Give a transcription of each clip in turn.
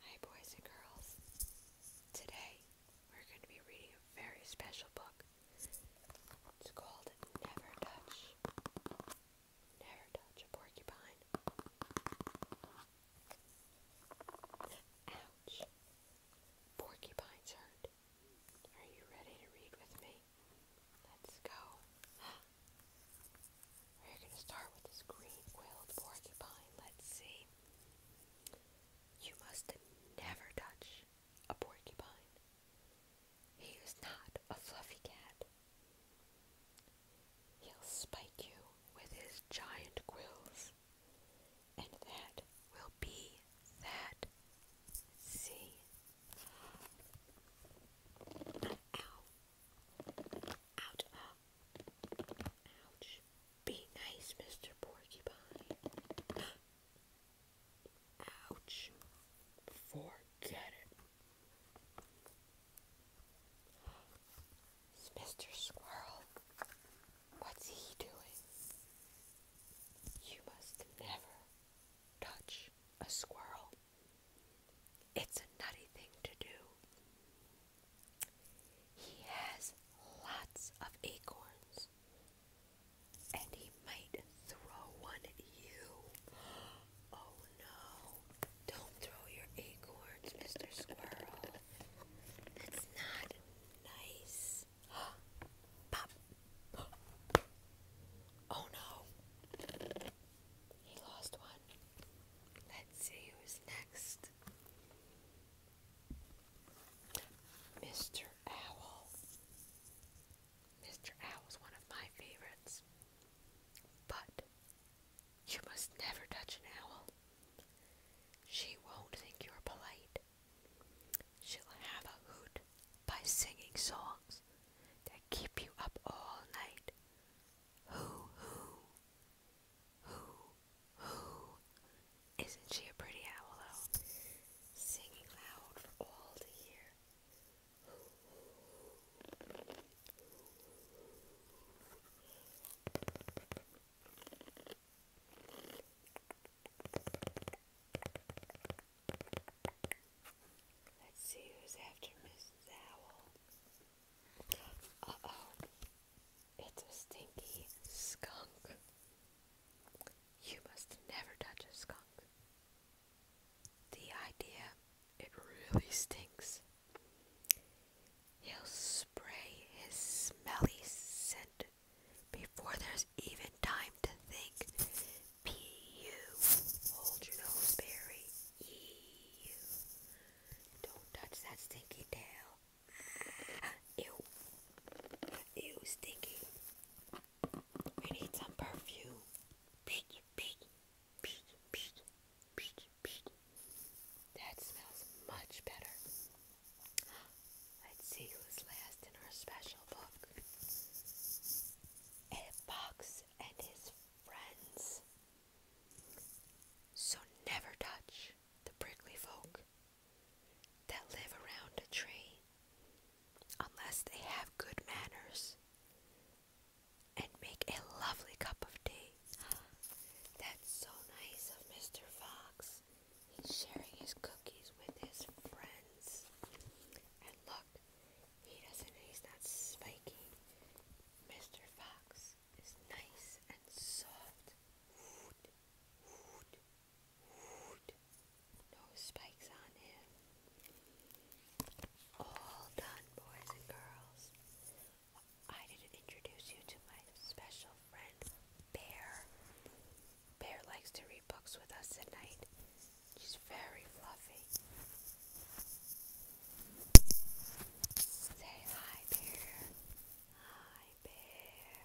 Hi boys and girls. Today we're going to be reading a very special book. It's called Never Touch. Never Touch a Porcupine. Ouch. Porcupines hurt. Are you ready to read with me? let's go. We're gonna start with this green quilled porcupine. Let's see. You must never touch a porcupine. He is not a fluffy cat. He'll spike you with his giant quills. And that will be that. see. Ow. Out. Ouch. Be nice, Mr. Porcupine. Ouch. Forget it. Mr. Squirrel, what's he doing? You must never touch a squirrel. It's a nutty thing to do. He has lots of acorns, and he might throw one at you. Oh no, don't throw your acorns, Mr. Squirrel. That's not nice. Pop. Oh no. He lost one. Let's see who's next. Mr. Owl. Mr. Owl's one of my favorites. But you must never touch an owl. She won't think you're polite. She'll have a hoot by singing songs that keep you up all night. Hoo hoo. Hoo hoo. Isn't she a pretty owl though? Singing loud for all to hear. Let's see who's after Mrs. Owl. Uh oh. It's a stinky skunk. You must never touch a skunk. The idea, it really stinks. He'll spray his smelly scent before there's even time to think. P U, hold your nose, Barry. E U, don't touch that stinky tail. Ew, ew, stinky. We need some perfume. That smells much better. Let's see who's last in our special book. fox and his friends. So never touch the prickly folk that live around a tree unless they have good manners and make a lovely cup of tea. That's so nice of Mr. Fox he's sharing his cookies with his friends. And look, he doesn't, he's not spiky. Mr. Fox is nice and soft. No spikes on him. All done, boys and girls. I didn't introduce you to my special girlfriend, Bear. Bear likes to read books with us at night. She's very fluffy. Say hi, Bear. Hi, Bear.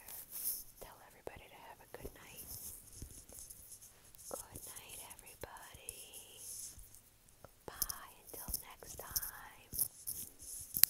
Tell everybody to have a good night. Good night, everybody. Bye until next time.